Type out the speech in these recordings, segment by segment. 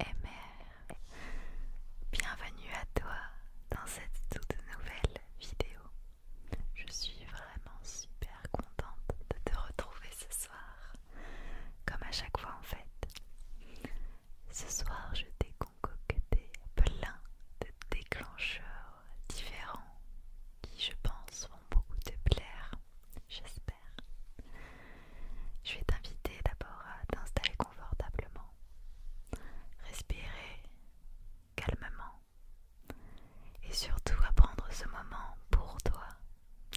MR. Bienvenue à toi dans cette toute nouvelle vidéo. Je suis vraiment super contente de te retrouver ce soir, comme à chaque fois en fait. Ce soir, je t'ai concocté plein de déclencheurs différents qui, je pense, vont beaucoup te plaire. J'espère. Je vais t'inviter d'abord à t'installer confortablement, respirer calmement et surtout à prendre ce moment pour toi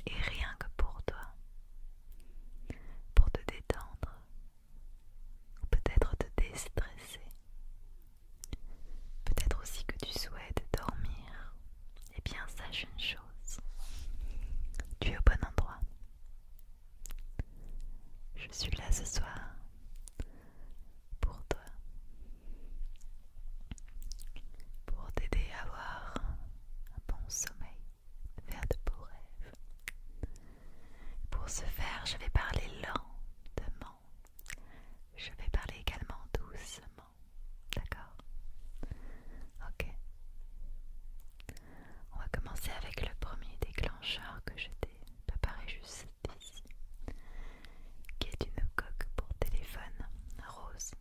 et rien que pour toi, pour te détendre peut-être te déstresser. Peut-être aussi que tu souhaites dormir. Eh bien, sache une chose. Tu es au bon endroit. Je suis là ce soir pour toi. Pour t'aider à avoir un bon sommeil, faire de beaux rêves. Pour ce faire, je vais parler lentement. Je vais parler également doucement. D'accord Ok. On va commencer avec le premier déclencheur que je t'ai préparé juste ici, qui est une coque pour téléphone rose.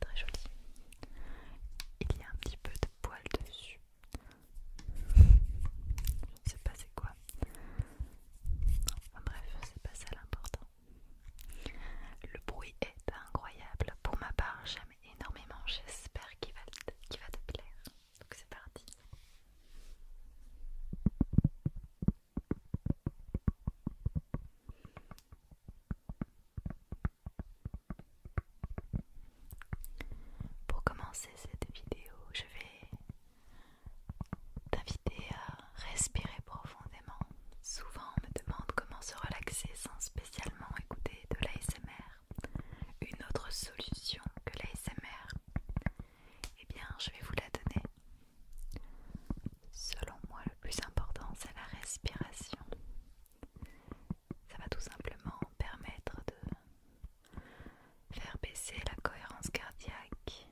très jolie. Il y a un petit peu de poils dessus. Je ne sais pas c'est quoi. bref, c'est pas ça l'important. Le bruit est incroyable. Pour ma part, j'aime énormément, j'espère qu'il va, te plaire. Donc c'est parti. Pour commencer cette vidéo, je vais t'inviter à respirer profondément. Souvent on me demande comment se relaxer sans se spécialement écouter de l'ASMR, une autre solution que l'ASMR, et eh bien je vais vous la donner. Selon moi, le plus important, c'est la respiration. Ça va tout simplement permettre de faire baisser la cohérence cardiaque,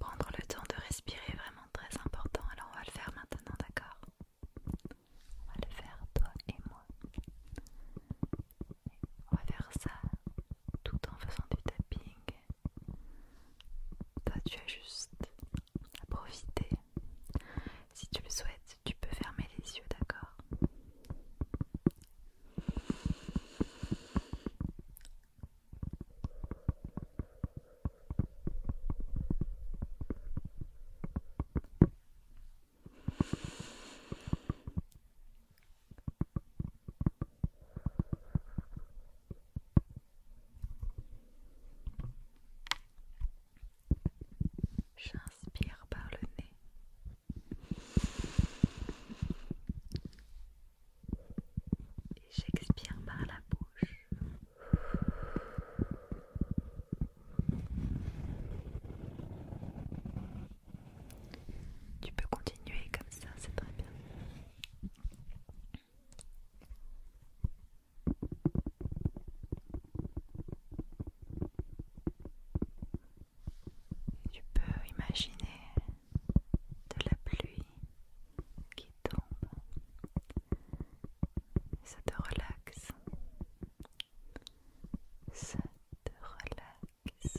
prendre le temps de respirer vraiment très important, alors on va le faire maintenant, d'accord On va le faire toi et moi. on va faire ça tout en faisant du tapping. Toi tu as juste à profiter. Si tu le souhaites, tu peux fermer les yeux, d'accord J'inspire par le nez. Et j'expire par la bouche. Tu peux continuer comme ça, c'est très bien. Tu peux imaginer de la pluie qui tombe ça te relaxe. Ça te relaxe.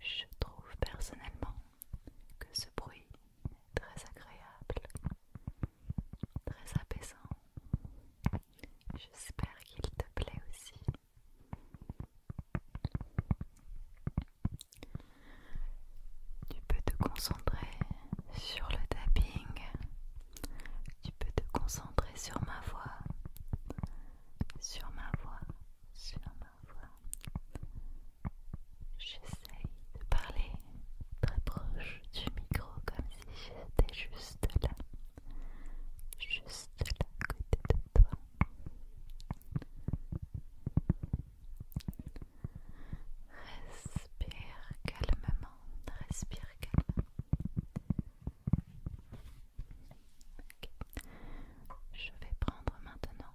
Je trouve personnellement que ce bruit est très agréable, très apaisant. J'espère qu'il te plaît aussi. Tu peux te concentrer sur le tapping, tu peux te concentrer sur ma voix, sur ma voix, sur ma voix. J'essaye de parler très proche du micro comme si j'étais juste là, juste à côté de toi. Respire calmement, respire calmement. Je vais prendre maintenant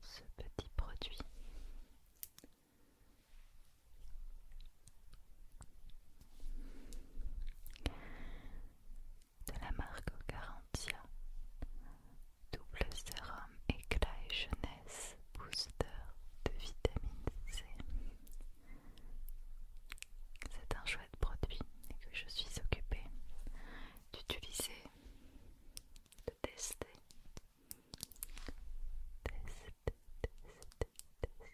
ce petit produit. De la marque Garantia, double sérum éclat et jeunesse Booster de vitamine C. C'est un chouette produit que je suis occupée d'utiliser, de tester. Test, test, test.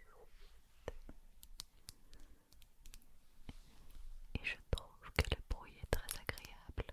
Et je trouve que le bruit est très agréable.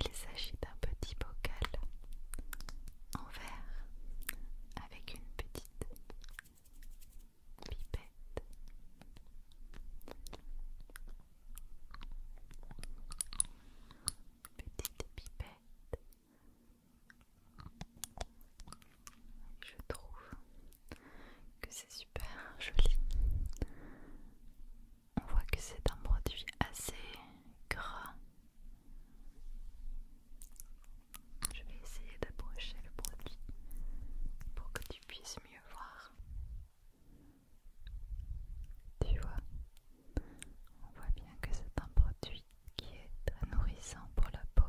Il s'agit d'un petit bocal en verre avec une petite pipette. Petite pipette. Je trouve que c'est super joli on voit que c'est un produit assez gras. Je vais essayer d'approcher le produit pour que tu puisses mieux voir. Tu vois, on voit bien que c'est un produit qui est très nourrissant pour la peau.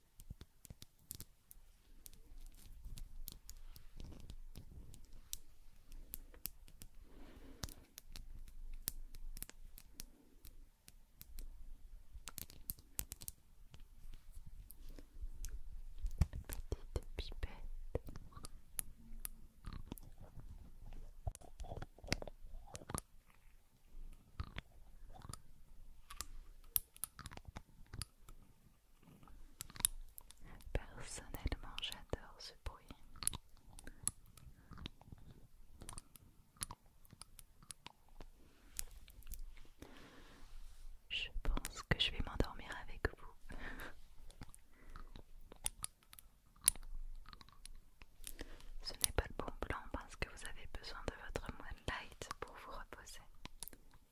Petite pipette. Personnellement, j'adore ce bruit. Je pense que je vais m'endormir avec vous. Ce n'est pas le bon plan parce que vous avez besoin de votre moonlight pour vous reposer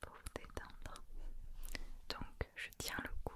pour vous détendre. Donc je tiens le coup.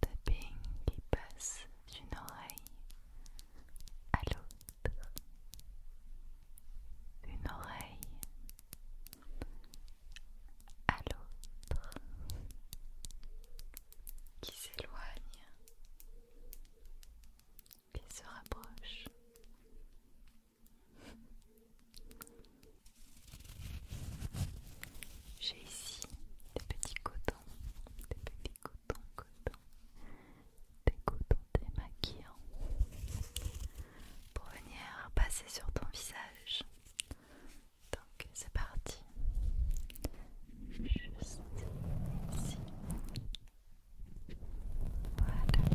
Tapping qui passe d'une oreille à l'autre. Une oreille à l'autre qui s'éloigne qui se rapproche. J'ai ici des petits cotons, des petits cotons coton, coton, des cotons démaquillants pour venir passer sur ton visage. Donc c'est parti. Juste ici. Voilà.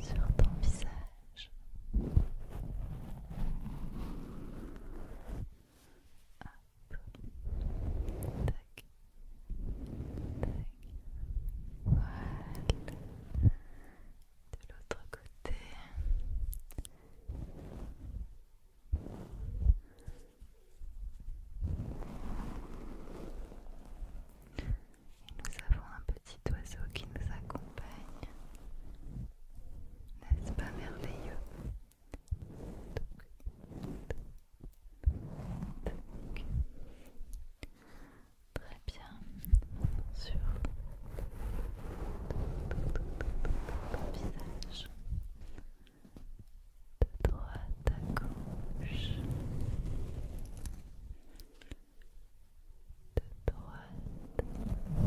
Sur ton visage. De l'autre côté. nous avons un petit oiseau qui nous accompagne. N'est-ce pas merveilleux Très bien, sur Ton visage de droite à gauche, de droite à gauche.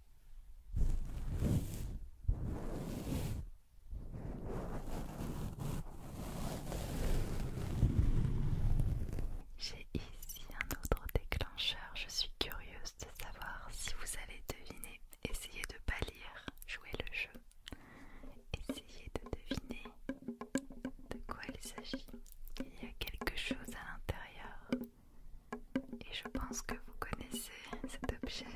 J'ai ici un autre déclencheur. Je suis curieuse de savoir si vous allez deviner Essayez de pas lire, jouez le jeu. Essayez de deviner de quoi il s'agit. Il y a quelque chose à l'intérieur. Et je pense que vous connaissez cet objet.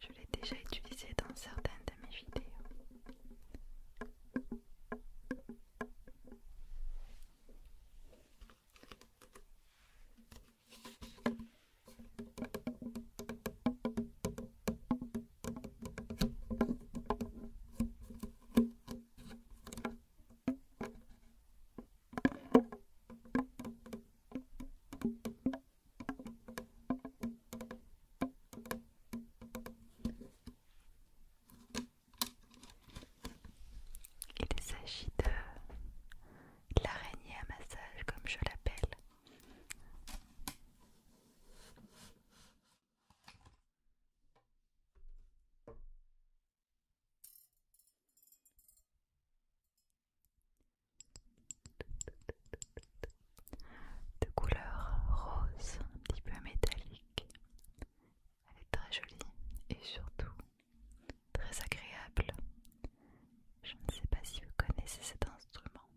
Je l'ai déjà utilisé dans certaines de mes vidéos. Il s'agit de l'araignée à massage comme je l'appelle de couleur rose, un petit peu métallique. Elle est très jolie et surtout très agréable. Je ne sais pas si vous connaissez cet instrument,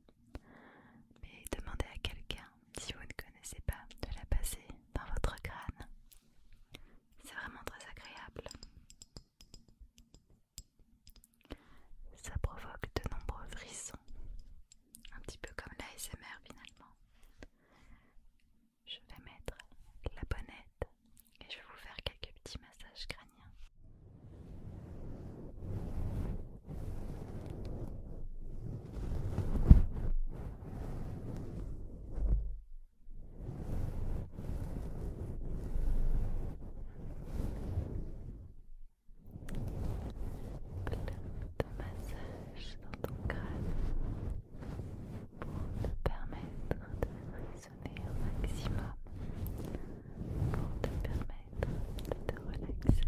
mais demandez à quelqu'un si vous ne connaissez pas de la passer dans votre crâne. C'est vraiment très agréable. Ça provoque de nombreux frissons, un petit peu comme l'ASMR finalement. Je vais mettre la bonnette et je vais vous faire quelques petits massages crâniens de massage dans ton crâne pour te permettre de résonner au maximum, pour te permettre de te relaxer.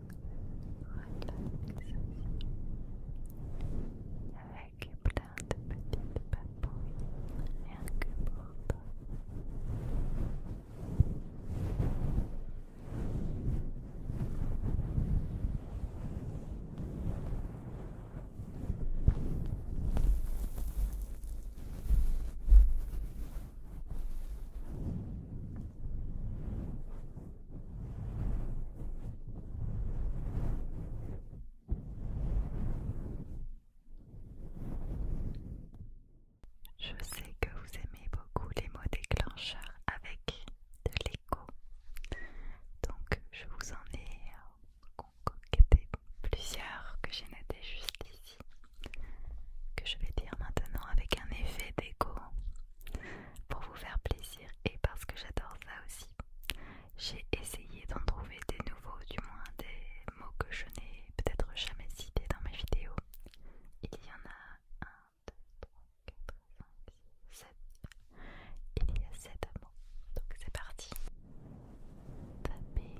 relaxation avec plein de petites papouilles, rien que pour toi. Relaxation. Je sais que vous aimez beaucoup les mots déclencheurs avec de l'écho, donc je vous en ai concocté plusieurs que j'ai noté juste ici, que je vais dire maintenant avec un effet d'écho pour vous faire plaisir et parce que j'adore ça aussi. J'ai essayé d'en trouver des nouveaux, du moins des mots que je n'ai peut-être jamais cités dans mes vidéos. Il y en a 1, 2, 3, 4, 5, 6, 7. Il y a 7 mots. Donc c'est parti. Tapping.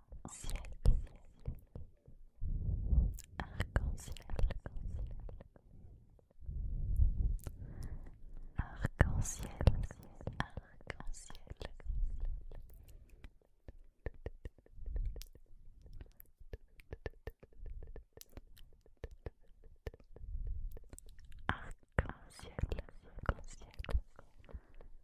arc-en-ciel, arc-en-ciel, arc-en-ciel. Arc-en-ciel, arc-en-ciel, arc-en-ciel,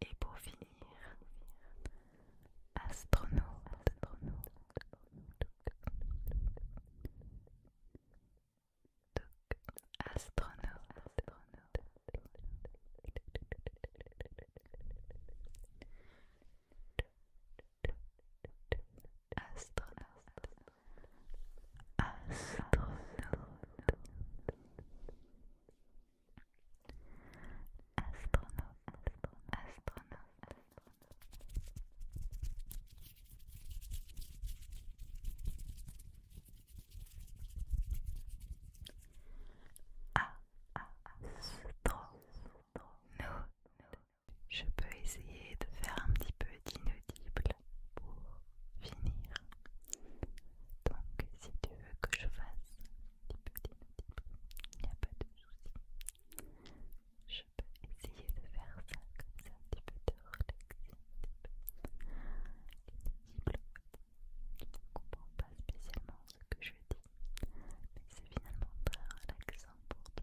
Et pour finir, astronaute, astronaute. Astronaute, astronaute astronaute, astronaute, astronaute, astronaute. Astronaute. Je peux essayer de faire un petit peu d'inaudible pour finir. Donc si tu veux que je fasse un petit peu d'inaudible, il n'y a pas de souci. Je peux essayer de faire ça comme ça, un petit peu de relaxer, un petit peu Tu ne comprends pas spécialement ce que je dis, mais c'est finalement très relaxant pour toi.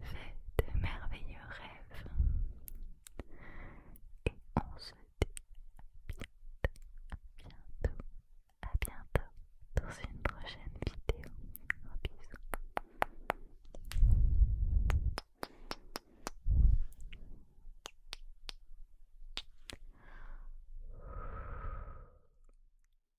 fait de merveilleux rêves et on se dit à bientôt, à bientôt, à bientôt dans une prochaine vidéo. Un